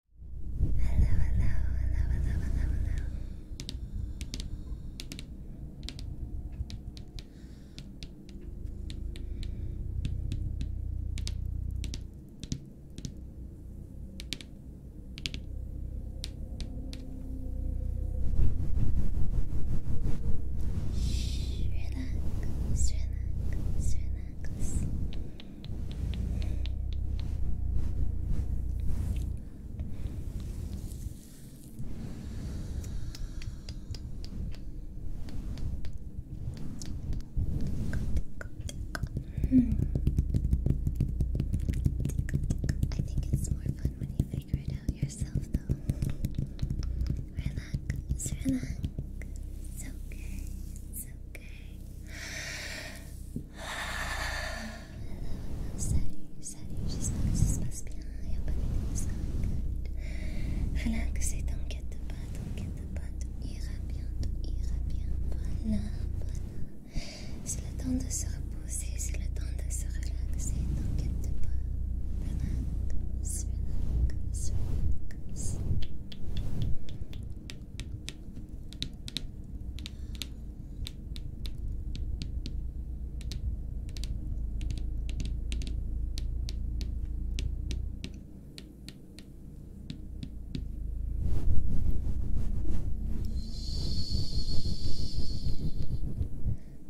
hello, hello, hello, hello, hello. Shh, relax, relax, relax, relax. Hmm. I think it's more fun when you figure it out yourself, though. Relax, It's okay, it's okay. Salut, salut, j'espère que ça se passe bien. You're everything is going good. Relax et t'inquiète pas, t'inquiète pas, tout ira bien, tout ira bien. Voilà, voilà. C'est le temps de se reposer, c'est le temps de se relaxer. T'inquiète pas. Relax, relax, relax.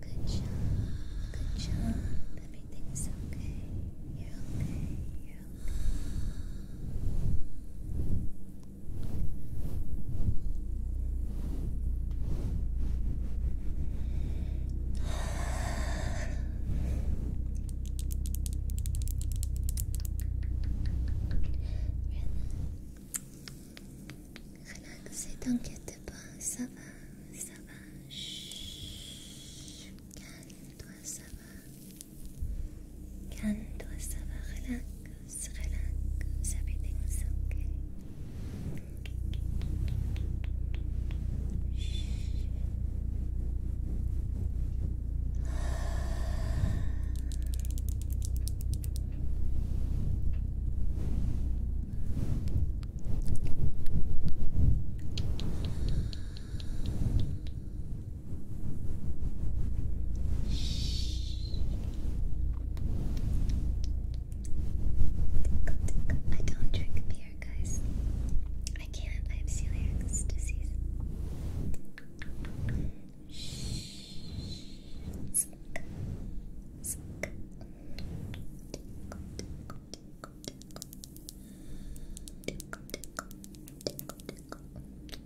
Good job, good job. Everything's okay. You're okay, ne t'inquiète pas, ça va, ça va. Calme-toi, ça va. And relax, relax, everything's okay. Shh. I don't drink beer, guys. I can't. I have celiac disease. Tickle,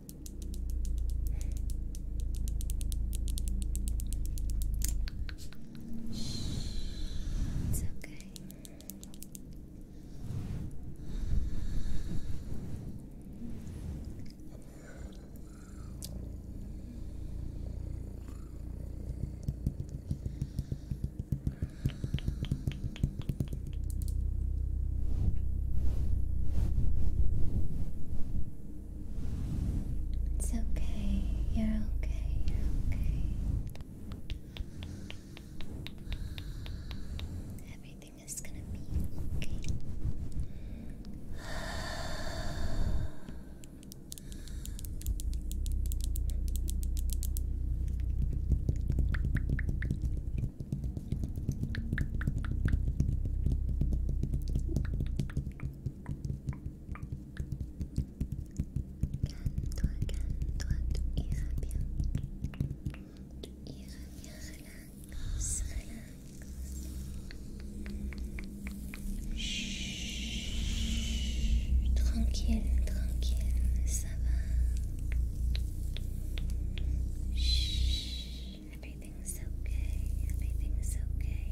It's okay. okay. It's okay, you're okay, you're okay. Everything is gonna be okay. Calme-toi, calme-toi, tu iras bien. tu iras bien, relax, relax. Chut, tranquille, tranquille, ça va. Chut. Everything's okay. Everything's okay.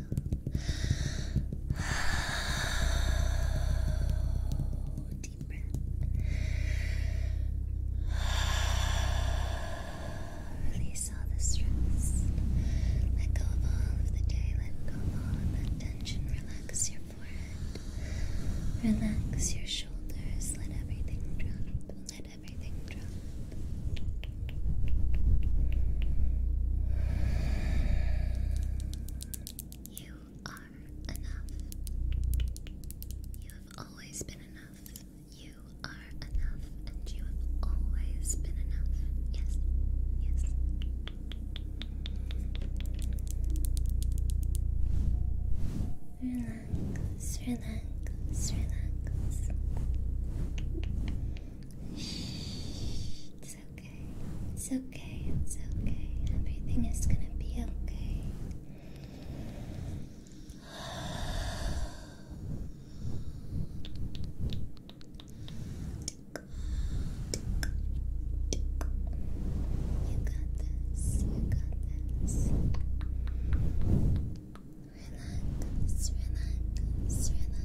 deep breath. Release all the stress. Let go of all of the day. Let go of all of that tension. Relax your forehead. Relax your shoulders. Let everything drop. Let everything drop. You are enough. You have always been enough. You are enough, and you have always been enough. Yes, yes. Relax, relax, relax. Shh. It's okay. It's okay. It's okay. Everything is gonna be okay. You got this. You got this. Relax. Relax. Relax.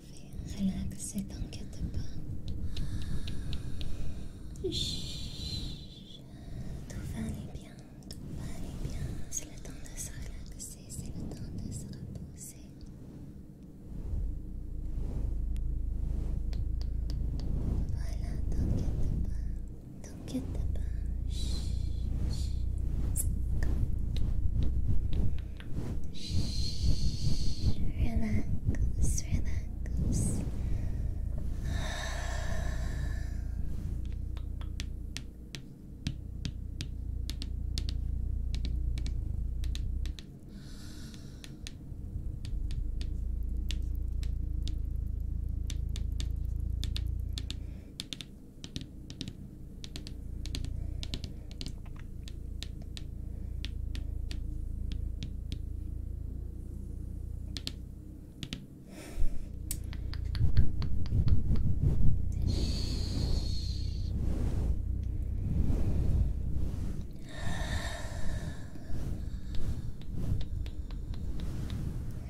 Relaxer, Relaxe, t'inquiète pas. Chut. Tout va aller bien, tout va aller bien. C'est le temps de se relaxer, c'est le temps de se reposer. Voilà, t'inquiète pas, t'inquiète pas. Chut. Chut. Shh. Relax, relax. Relax,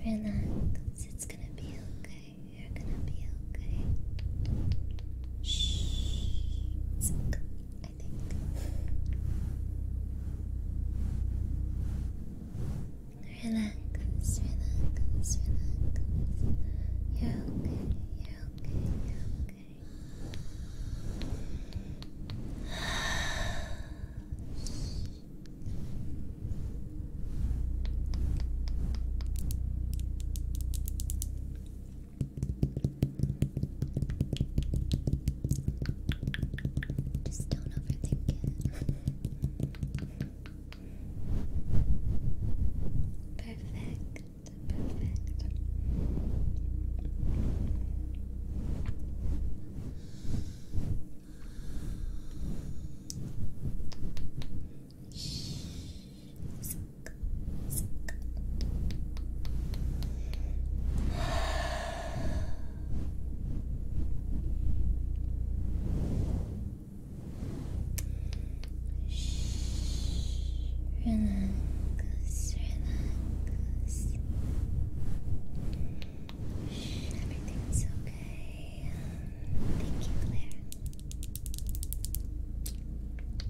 Relax, it's gonna be okay. You're gonna be okay. Shh. It's okay. Relax, relax, relax. You're okay, you're okay, you're okay. Just don't overthink it. perfect, perfect. Relax, relax. Everything's okay. Thank you, Claire.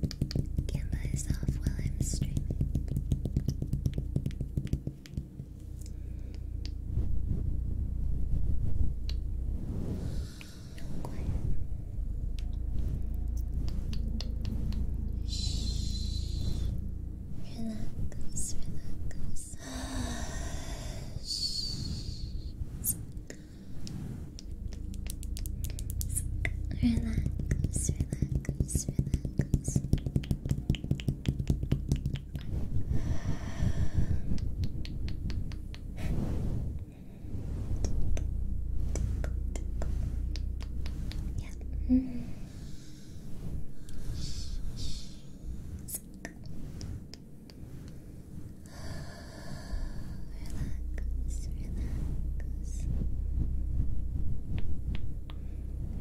Canva is off while I'm streaming. No quiet. Shh. Relax, relax. Shh. Relax, relax, relax. Yep. -hmm. Relax, relax.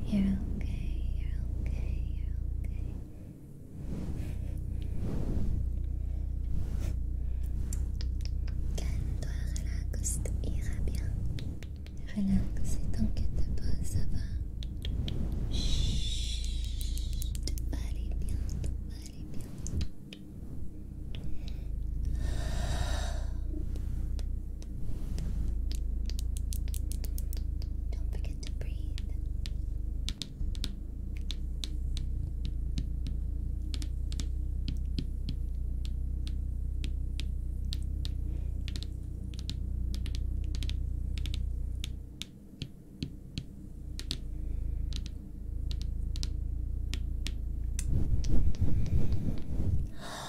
You're okay, you're okay, Calme-toi, relaxe, ira bien. Relaxe t'inquiète pas, ça va. bien, bien. Don't forget to breathe.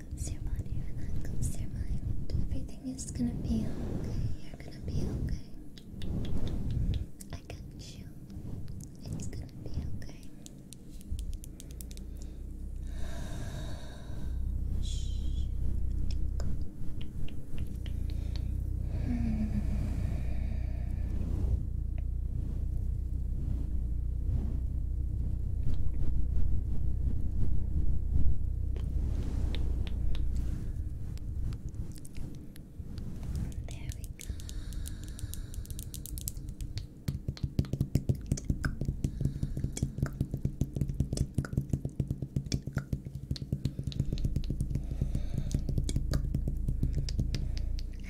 comes your body, where that comes your mind, everything is gonna be okay. You're gonna be okay. I got you. It's gonna be okay. There we go.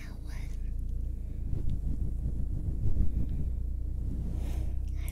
How was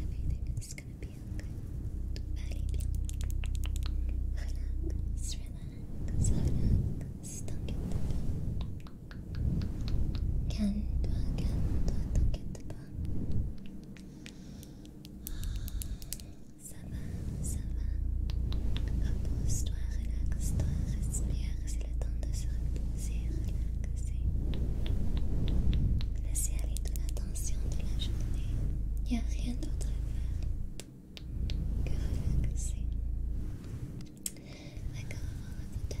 Everything is gonna be okay. Relax, relax, relax. Don't get the bug. Can do it, can do it, don't get the bug. Ça va, repose-toi, relaxe-toi, respire, c'est le temps de se relaxer. Laissez aller toute l'attention de la journée, il n'y a rien d'autre à faire que relaxer. Let go of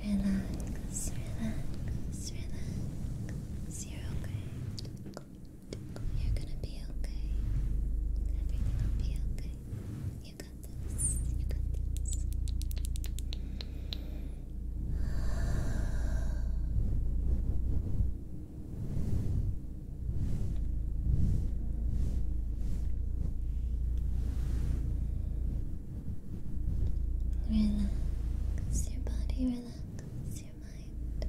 Relax. Relax, relax, relax. You're okay. You're gonna be okay. Everything will be okay. You got this. You got this. Relax your body, relax your mind.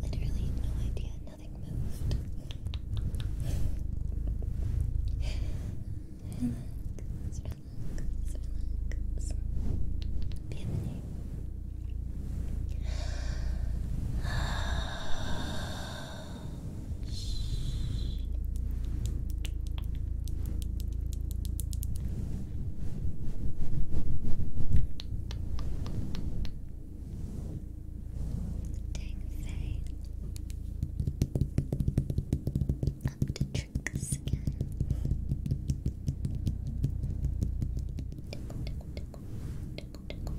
Literally no idea, nothing moved. relax, relax, relax. Bienvenue. Dang Faye. Up to tricks again. Tickle, tickle, tickle, tickle, tickle.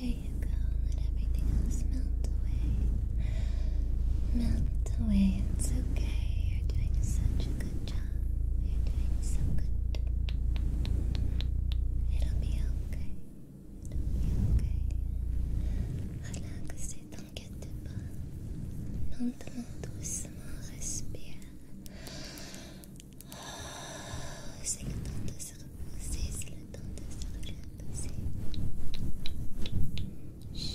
There you go, let everything else melt away melt away. It's okay. You're doing such a good job. You're doing so good. It'll be okay. It'll be okay. Relax, t'inquiète pas. Lentement, doucement, respire. C'est le temps de se reposer, c'est le temps de se relaxer. Chut.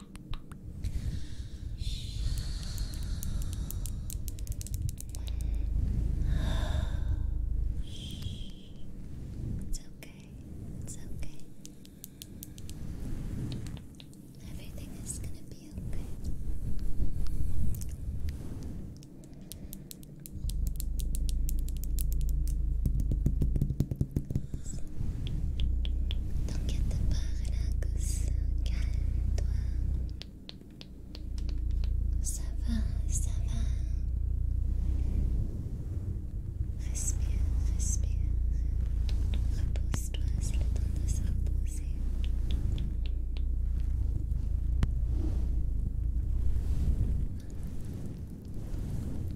It's okay. It's okay. Everything is gonna be okay. T'inquiète pas, relax, calme-toi. Ça va, ça va. Respire, respire. Repose-toi, c'est le temps de se reposer.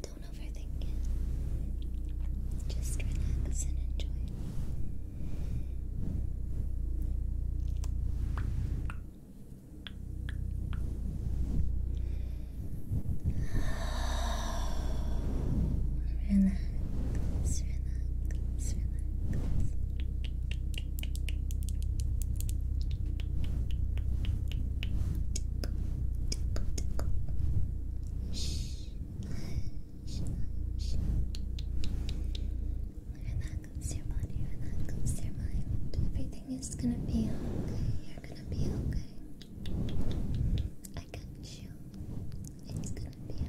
Don't overthink it. Just relax and enjoy. Relax, relax, relax that comes to your body, where that comes to your mind. Everything is gonna be okay. You're gonna be okay. I got you. It's gonna be okay.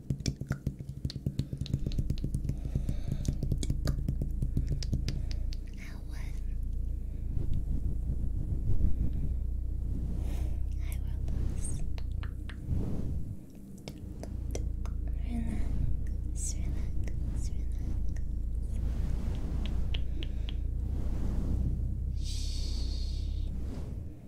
I won. I robust. Relax, relax, relax. Shh.